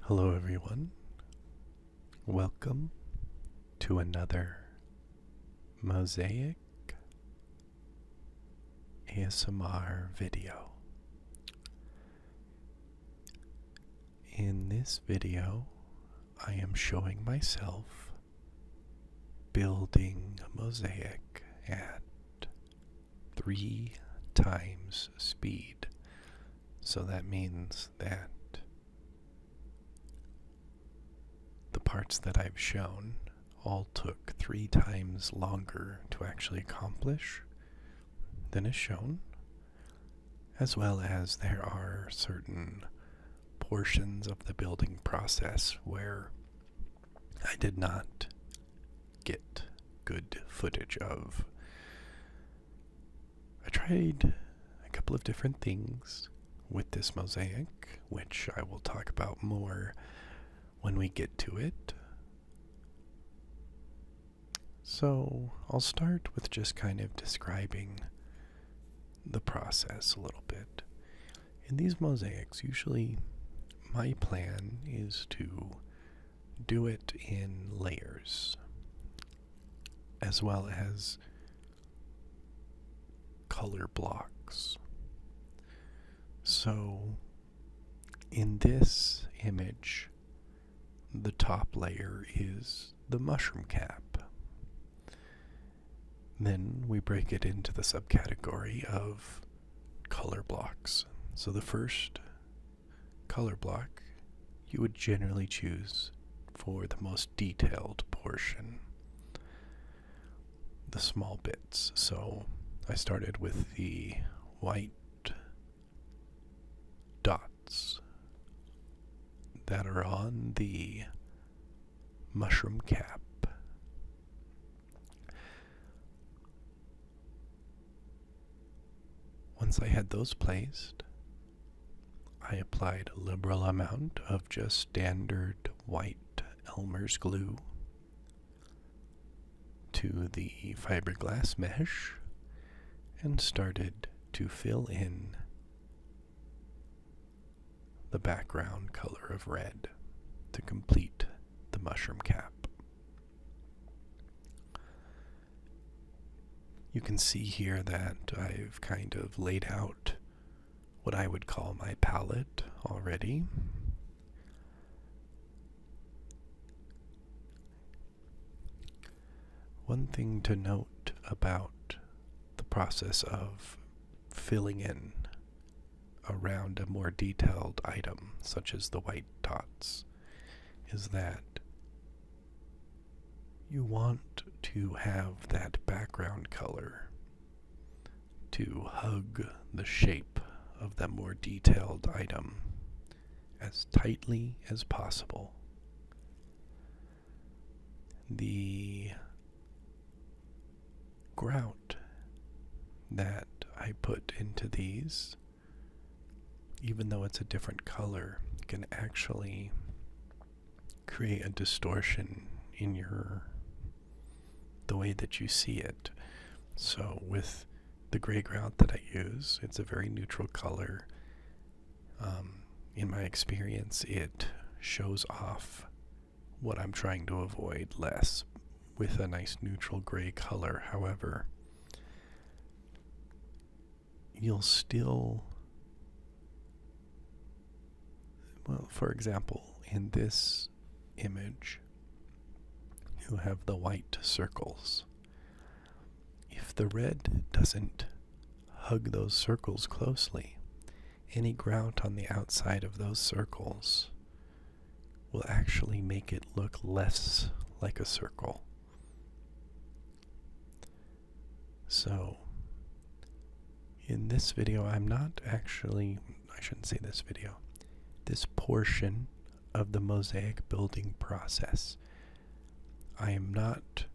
Hello, everyone. Welcome to another Mosaic ASMR video. In this video, I am showing myself building a mosaic at three times speed. So that means that the parts that I've shown all took three times longer to actually accomplish than is shown, as well as there are certain portions of the building process where I did not get good footage of. I tried a couple of different things with this mosaic, which I will talk about more when we get to it. So, I'll start with just kind of describing the process a little bit. In these mosaics, usually my plan is to do it in layers as well as color blocks. So, in this image, the top layer is the mushroom cap. Then we break it into the subcategory of color blocks. So the first color block, you would generally choose for the most detailed portion, the small bits. So I started with the white dots that are on the mushroom cap. Once I had those placed, I applied a liberal amount of just standard white Elmer's glue to the fiberglass mesh and started to fill in the background color of red to complete the mushroom cap. You can see here that I've kind of laid out what I would call my palette already. One thing to note about the process of filling in around a more detailed item, such as the white dots, is that you want to have that background color to hug the shape of the more detailed item as tightly as possible. The grout that I put into these even though it's a different color, can actually create a distortion in your the way that you see it. So with the gray ground that I use, it's a very neutral color. Um, in my experience, it shows off what I'm trying to avoid less with a nice neutral gray color. However, you'll still well for example in this image you have the white circles if the red doesn't hug those circles closely any grout on the outside of those circles will actually make it look less like a circle so, in this video, I'm not actually, I shouldn't say this video, this portion of the mosaic building process. I am not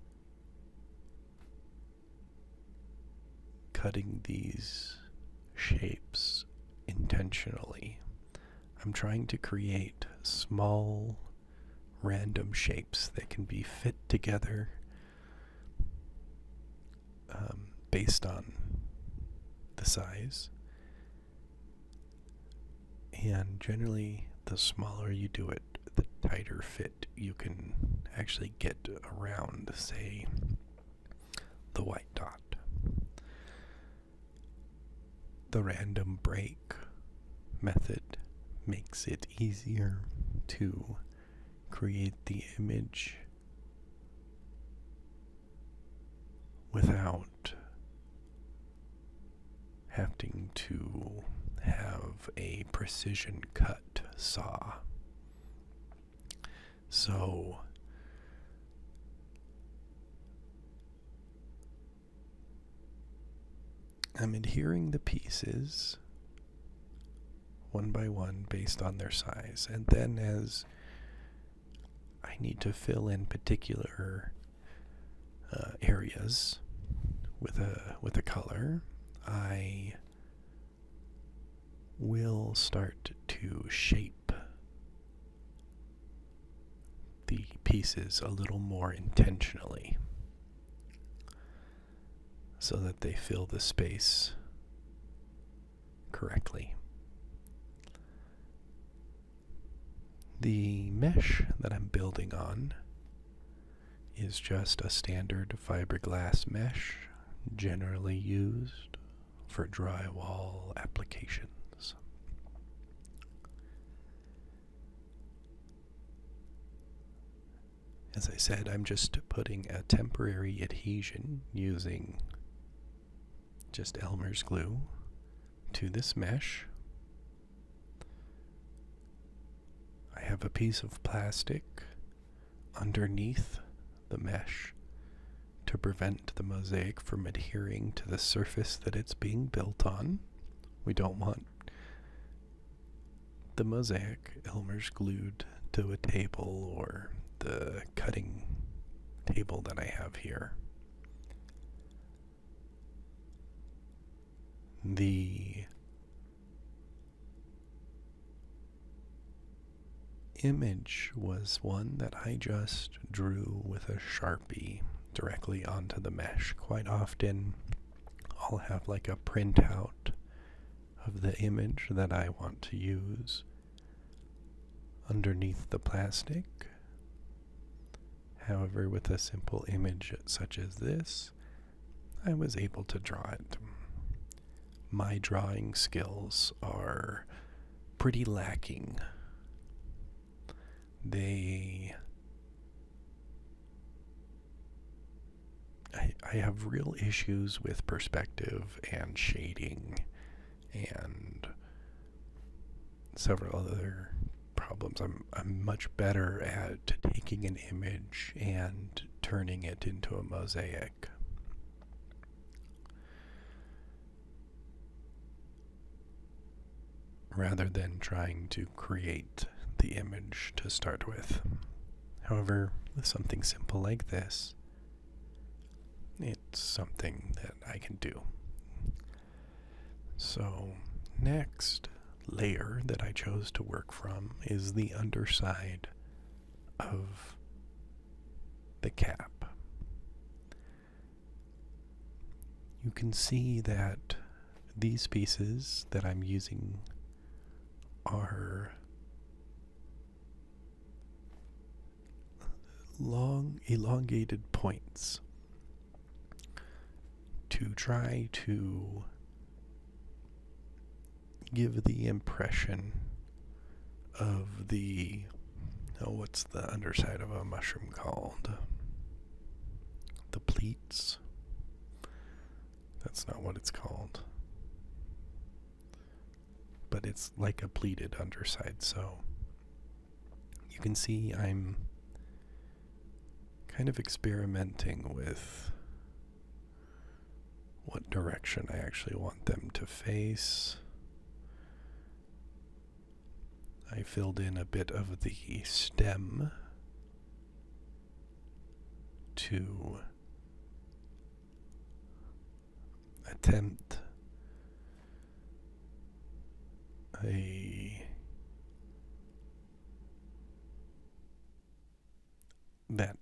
cutting these shapes intentionally. I'm trying to create small random shapes that can be fit together um, based on the size. And generally, the smaller you do it, the tighter fit you can actually get around, say, the white dot. The random break method makes it easier to create the image without having to have a precision cut saw. So I'm adhering the pieces one by one based on their size, and then as I need to fill in particular uh, areas with a with a color, I will start to shape the pieces a little more intentionally so that they fill the space correctly. The mesh that I'm building on is just a standard fiberglass mesh generally used for drywall applications. As I said, I'm just putting a temporary adhesion using just Elmer's glue to this mesh. I have a piece of plastic underneath the mesh to prevent the mosaic from adhering to the surface that it's being built on. We don't want the mosaic Elmer's glued to a table or the cutting table that I have here. The image was one that I just drew with a sharpie directly onto the mesh. Quite often, I'll have like a printout of the image that I want to use underneath the plastic. However, with a simple image such as this, I was able to draw it. My drawing skills are pretty lacking. They I, I have real issues with perspective and shading and several other problems. I'm, I'm much better at taking an image and turning it into a mosaic rather than trying to create the image to start with. However, with something simple like this, it's something that I can do. So, next layer that I chose to work from is the underside of the cap. You can see that these pieces that I'm using are long, elongated points to try to give the impression of the oh what's the underside of a mushroom called the pleats that's not what it's called. But it's like a pleated underside, so you can see I'm kind of experimenting with what direction I actually want them to face. I filled in a bit of the stem to attempt a that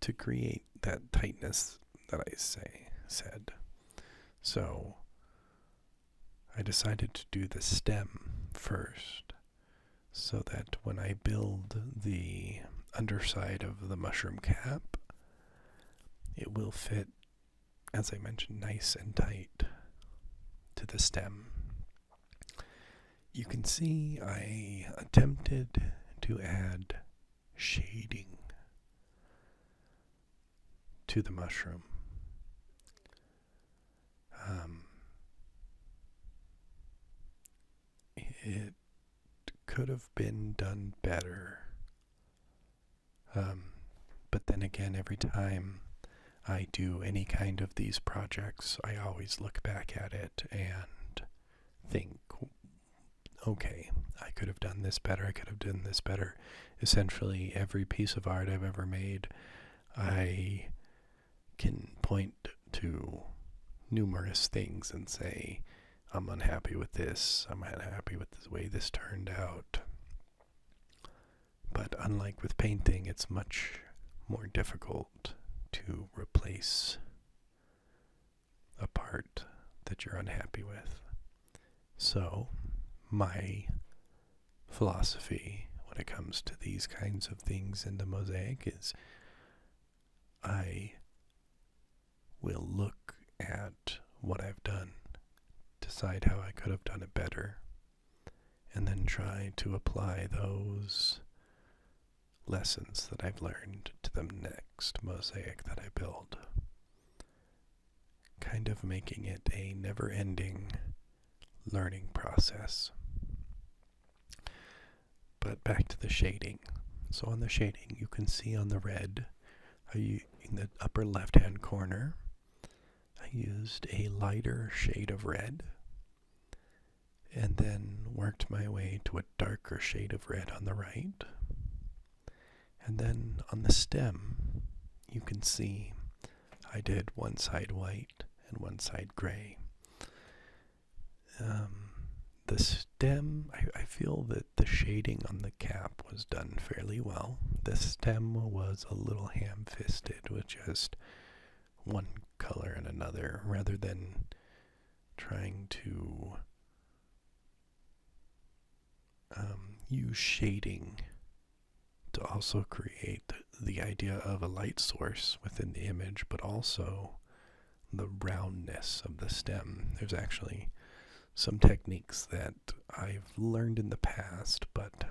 to create that tightness that I say said. So I decided to do the stem first so that when I build the underside of the mushroom cap, it will fit, as I mentioned, nice and tight to the stem. You can see I attempted to add shading to the mushroom. Um, it could have been done better. Um, but then again, every time I do any kind of these projects, I always look back at it and think, okay, I could have done this better, I could have done this better. Essentially, every piece of art I've ever made, I can point to numerous things and say, I'm unhappy with this, I'm unhappy with the way this turned out. But unlike with painting, it's much more difficult to replace a part that you're unhappy with. So, my philosophy when it comes to these kinds of things in the mosaic I will look at what I've done, decide how I could have done it better, and then try to apply those lessons that I've learned to the next mosaic that I build. Kind of making it a never ending learning process. But back to the shading. So on the shading, you can see on the red, in the upper left-hand corner, I used a lighter shade of red and then worked my way to a darker shade of red on the right. And then on the stem, you can see I did one side white and one side gray. Um, the stem, I, feel that the shading on the cap was done fairly well. The stem was a little ham fisted with just one color and another rather than trying to um, use shading to also create the idea of a light source within the image, but also the roundness of the stem. There's actually some techniques that I've learned in the past, but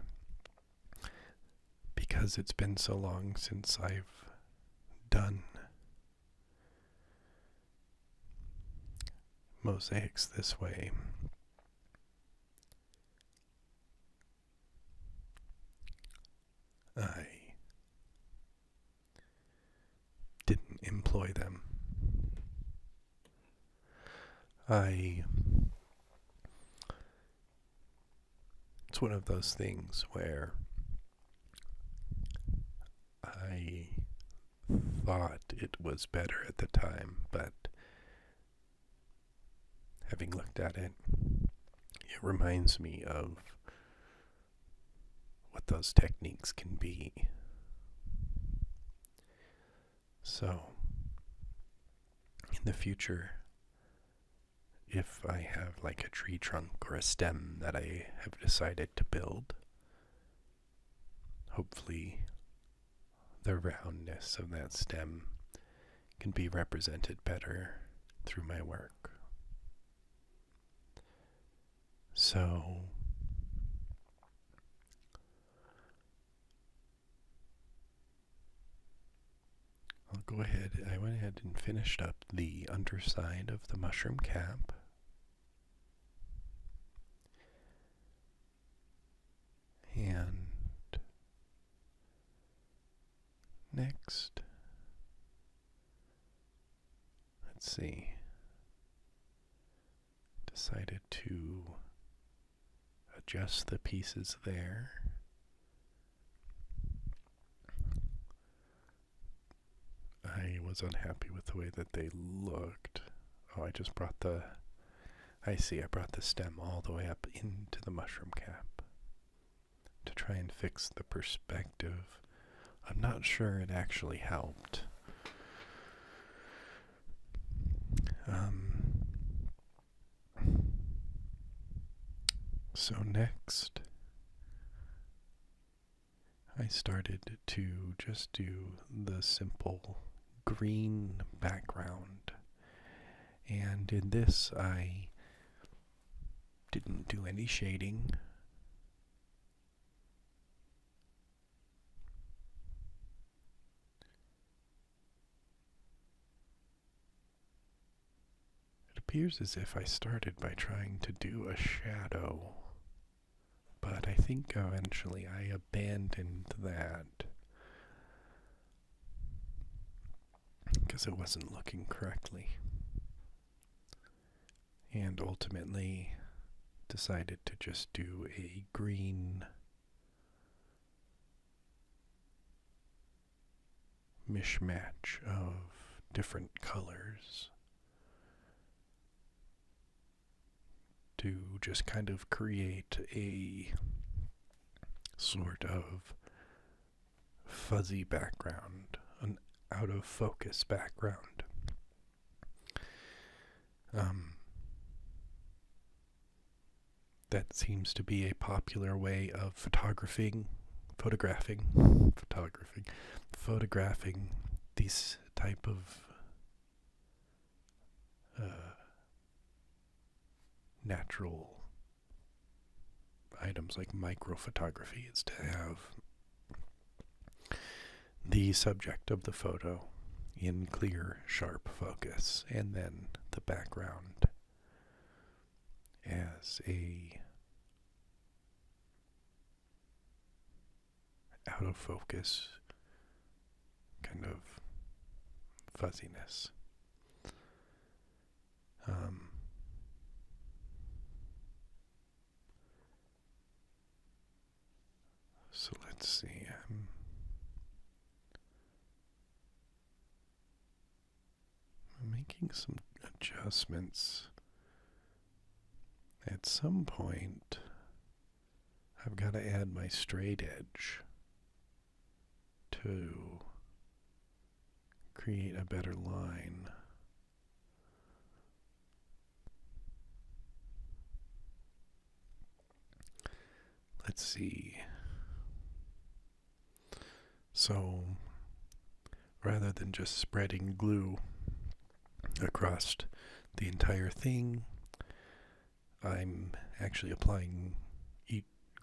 because it's been so long since I've done mosaics this way, I didn't employ them. I. It's one of those things where I thought it was better at the time, but having looked at it, it reminds me of what those techniques can be. So, in the future, if I have like a tree trunk or a stem that I have decided to build, hopefully the roundness of that stem can be represented better through my work. So, I'll go ahead. I went ahead and finished up the underside of the mushroom cap. And Next, let's see, decided to adjust the pieces there. I was unhappy with the way that they looked. Oh, I just brought the. I see, I brought the stem all the way up into the mushroom cap to try and fix the perspective. I'm not sure it actually helped. Um, so, next, I started to just do the simple green background. And in this, I didn't do any shading. It appears as if I started by trying to do a shadow, but I think eventually I abandoned that. Because it wasn't looking correctly and ultimately decided to just do a green mishmash of different colors to just kind of create a sort of fuzzy background, an out of focus background. Um, that seems to be a popular way of photographing, photographing, photographing, photographing these type of uh, natural items like microphotography is to have the subject of the photo in clear, sharp focus, and then the background as a out of focus kind of fuzziness. Um, so let's see. Um, I'm making some adjustments. At some point, I've got to add my straight edge to create a better line. Let's see. So, rather than just spreading glue across the entire thing, I'm actually applying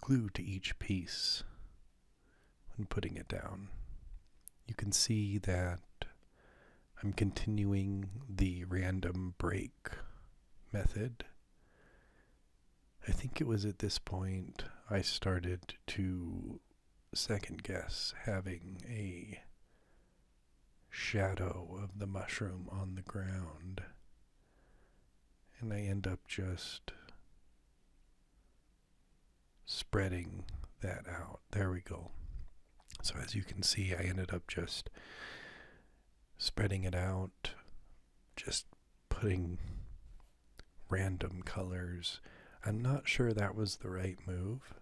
glue to each piece when putting it down. You can see that I'm continuing the random break method. I think it was at this point I started to second guess having a shadow of the mushroom on the ground. And I end up just spreading that out. There we go. So as you can see, I ended up just spreading it out, just putting random colors. I'm not sure that was the right move.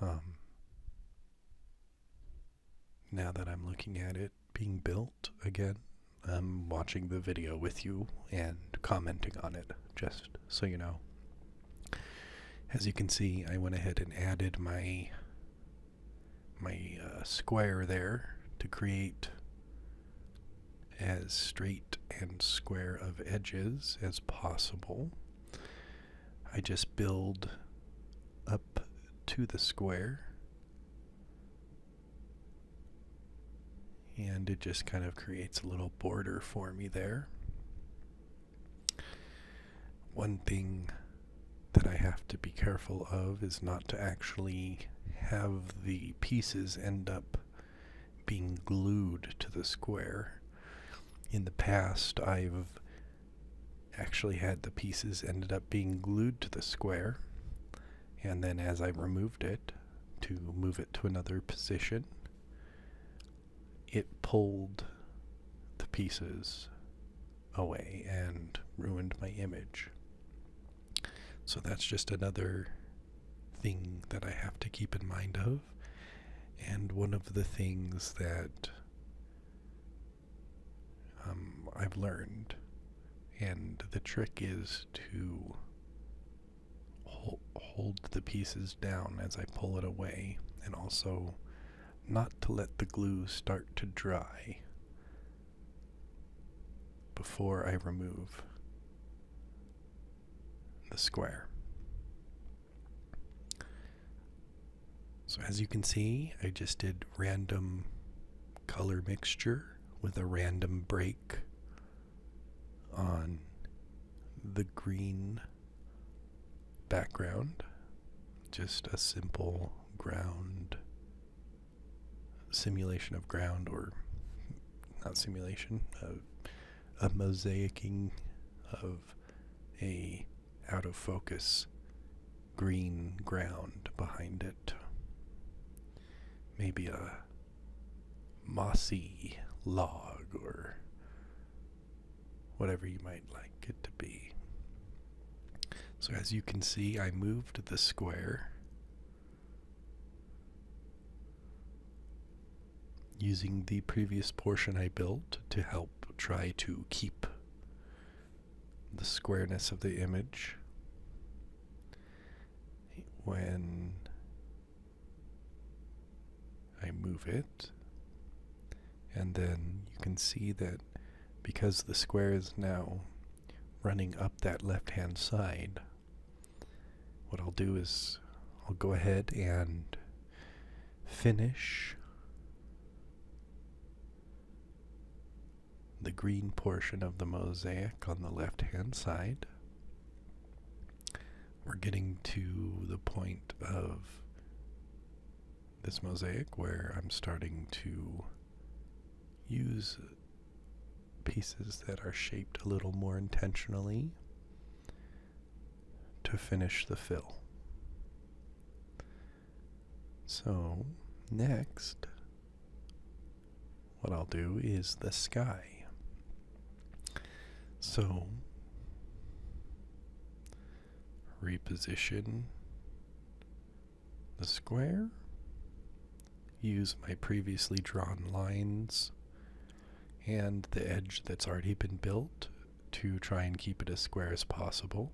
Um, now that I'm looking at it being built again, I'm um, watching the video with you and commenting on it, just so you know. As you can see, I went ahead and added my my uh, square there to create as straight and square of edges as possible. I just build up to the square and it just kind of creates a little border for me there. One thing that I have to be careful of is not to actually have the pieces end up being glued to the square. In the past, I've actually had the pieces ended up being glued to the square, and then as I removed it, to move it to another position, it pulled the pieces away and ruined my image. So that's just another thing that I have to keep in mind of. And one of the things that um, I've learned. And the trick is to hold the pieces down as I pull it away, and also not to let the glue start to dry before I remove the square. So as you can see, I just did random color mixture with a random break on the green background, just a simple ground simulation of ground, or not simulation, a, a mosaicing of a out of focus green ground behind it. Maybe a mossy log or whatever you might like it to be. So as you can see, I moved the square using the previous portion I built to help try to keep the squareness of the image. When I move it, and then you can see that because the square is now running up that left hand side, what I'll do is I'll go ahead and finish the green portion of the mosaic on the left hand side we're getting to the point of this mosaic where I'm starting to use pieces that are shaped a little more intentionally to finish the fill. So, next, what I'll do is the sky. So reposition the square, use my previously drawn lines and the edge that's already been built to try and keep it as square as possible.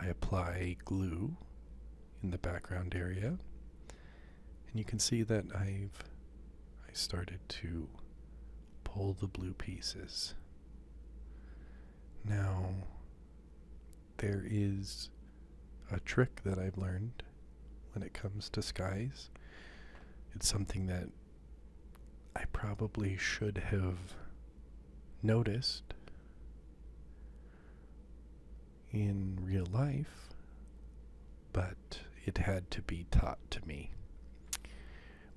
I apply glue in the background area and you can see that I've I started to pull the blue pieces. Now there is a trick that I've learned when it comes to skies. It's something that I probably should have noticed in real life, but it had to be taught to me.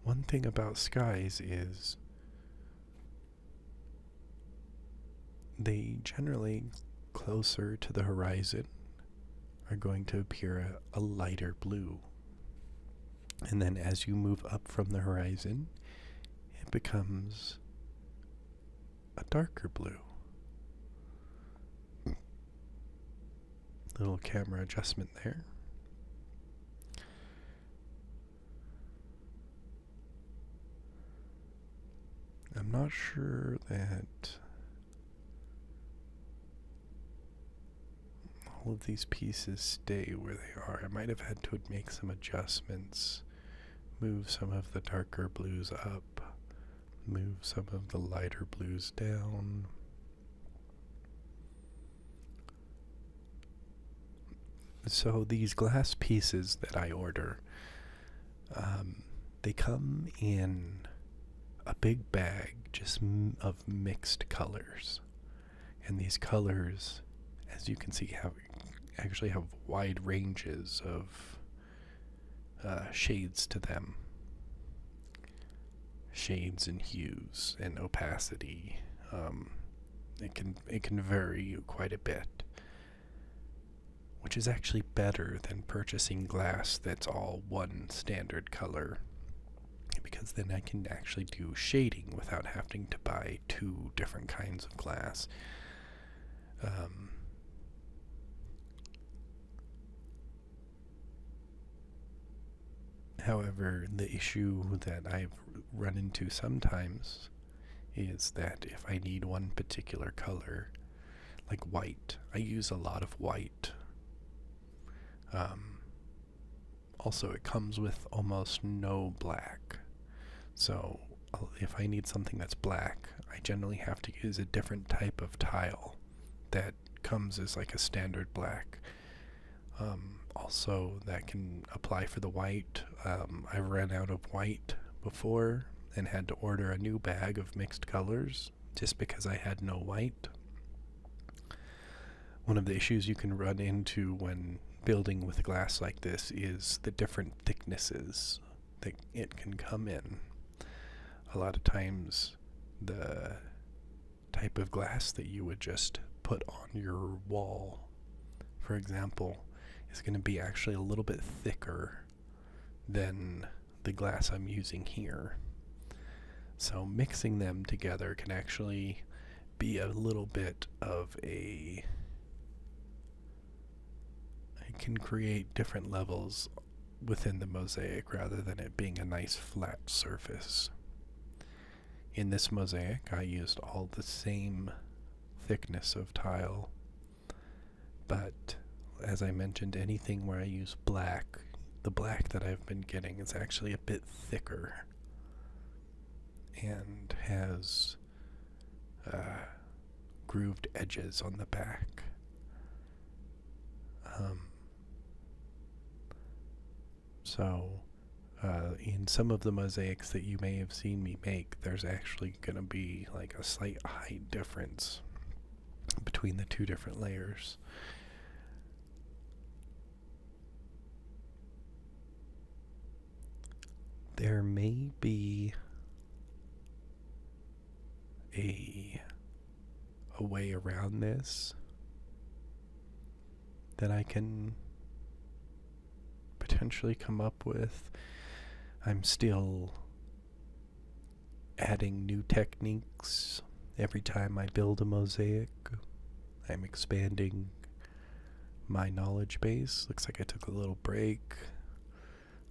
One thing about skies is they generally closer to the horizon are going to appear a, lighter blue. And then as you move up from the horizon, it becomes a darker blue. Little camera adjustment there. I'm not sure that all of these pieces stay where they are. I might have had to make some adjustments, move some of the darker blues up, move some of the lighter blues down. So these glass pieces that I order, um, they come in a big bag just of mixed colors, and these colors, as you can see, have actually have wide ranges of uh, shades to them shades and hues and opacity. Um, it can it can vary quite a bit, which is actually better than purchasing glass that's all one standard color, because then I can actually do shading without having to buy two different kinds of glass. Um, However, the issue that I've run into sometimes is that if I need one particular color, like white, I use a lot of white. Um, also, it comes with almost no black. So, if I need something that's black, I generally have to use a different type of tile that comes as like a standard black. Um, also, that can apply for the white. Um, I've ran out of white before and had to order a new bag of mixed colors just because I had no white. One of the issues you can run into when building with glass like this is the different thicknesses that it can come in. A lot of times the type of glass that you would just put on your wall, for example, is going to be actually a little bit thicker than the glass I'm using here. So mixing them together can actually be a little bit of a. It can create different levels within the mosaic rather than it being a nice flat surface. In this mosaic, I used all the same thickness of tile, but as I mentioned, anything where I use black, the black that I've been getting is actually a bit thicker and has uh, grooved edges on the back. Um, so, uh, in some of the mosaics that you may have seen me make, there's actually going to be like a slight height difference between the two different layers. There may be a a way around this that I can potentially come up with. I'm still adding new techniques every time I build a mosaic. I'm expanding my knowledge base. Looks like I took a little break.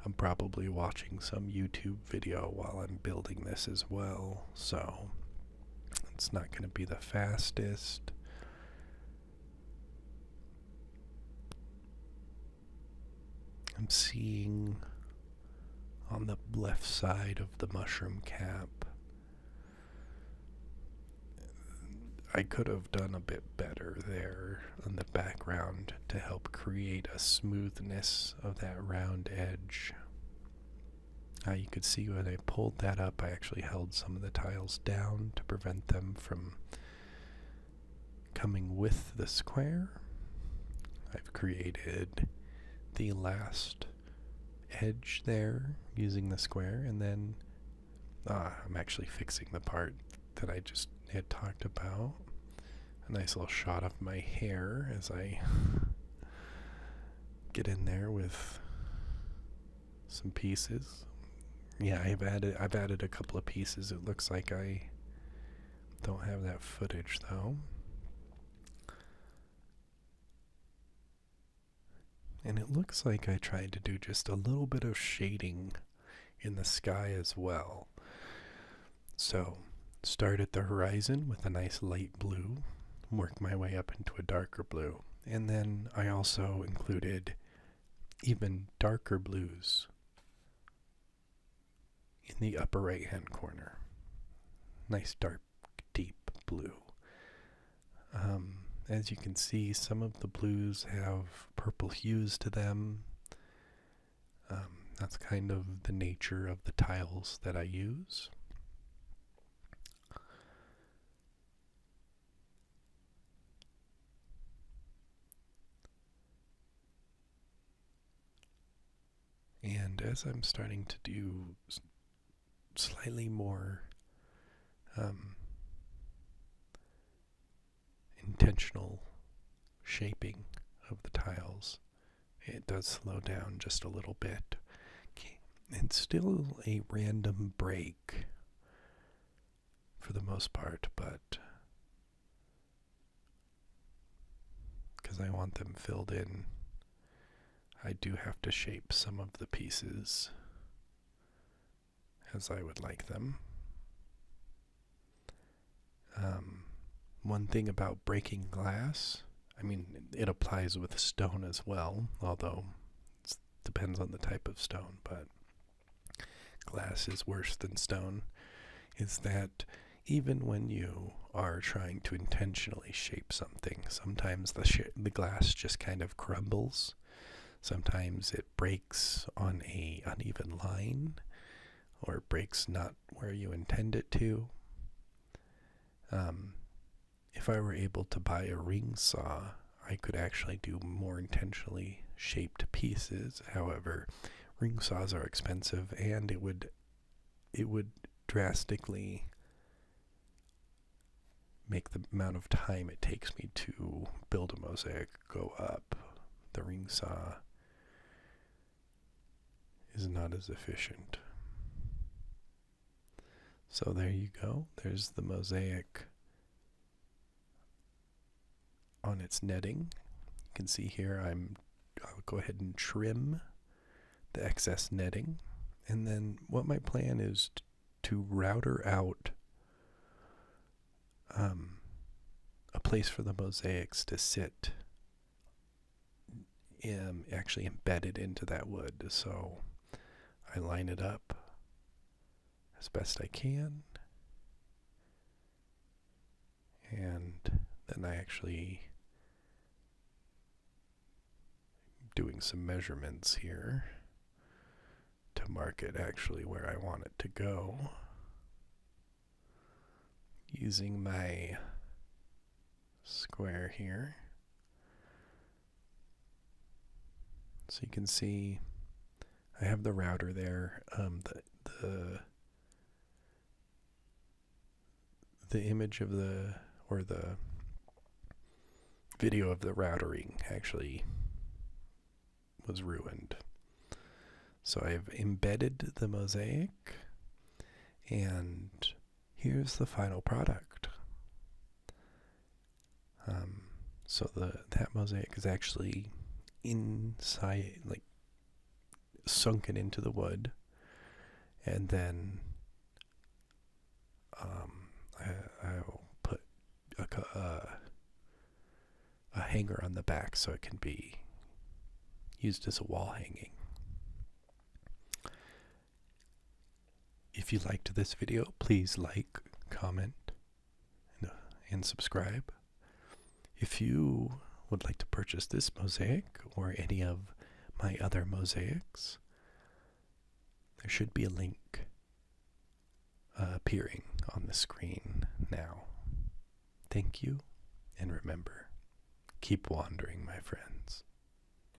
I'm probably watching some YouTube video while I'm building this as well, so it's not going to be the fastest. I'm seeing on the left side of the mushroom cap. I could have done a bit better there in the background to help create a smoothness of that round edge. Uh, you could see when I pulled that up, I actually held some of the tiles down to prevent them from coming with the square. I've created the last edge there using the square, and then uh, I'm actually fixing the part that I just had talked about. A nice little shot of my hair as I get in there with some pieces. Yeah, I've added I've added a couple of pieces. It looks like I don't have that footage though. And it looks like I tried to do just a little bit of shading in the sky as well. So Start at the horizon with a nice light blue, work my way up into a darker blue. And then I also included even darker blues in the upper right hand corner. Nice dark, deep blue. Um, as you can see, some of the blues have purple hues to them. Um, that's kind of the nature of the tiles that I use. And as I'm starting to do slightly more um, intentional shaping of the tiles, it does slow down just a little bit. Okay. And still a random break for the most part, but because I want them filled in, I do have to shape some of the pieces as I would like them. Um, one thing about breaking glass I mean, it applies with stone as well, although it depends on the type of stone, but glass is worse than stone, is that even when you are trying to intentionally shape something, sometimes the, the glass just kind of crumbles. Sometimes it breaks on a uneven line or breaks not where you intend it to. Um, if I were able to buy a ring saw, I could actually do more intentionally shaped pieces. However, ring saws are expensive and it would it would drastically make the amount of time it takes me to build a mosaic go up. The ring saw is not as efficient. So there you go. There's the mosaic on its netting. You can see here I'm will go ahead and trim the excess netting. And then what my plan is to router out um, a place for the mosaics to sit Am actually embedded into that wood. So I line it up as best I can. And then I actually doing some measurements here to mark it actually where I want it to go using my square here so you can see I have the router there. Um, the, the, the image of the, or the video of the routering actually was ruined. So I've embedded the mosaic and here's the final product. Um, so the that mosaic is actually inside, like sunken into the wood, and then um, I, will put uh, a hanger on the back so it can be used as a wall hanging. If you liked this video, please like, comment, uh, and, subscribe. If you would like to purchase this mosaic or any of my other mosaics, there should be a link uh, appearing on the screen now. Thank you, and remember, keep wandering, my friends.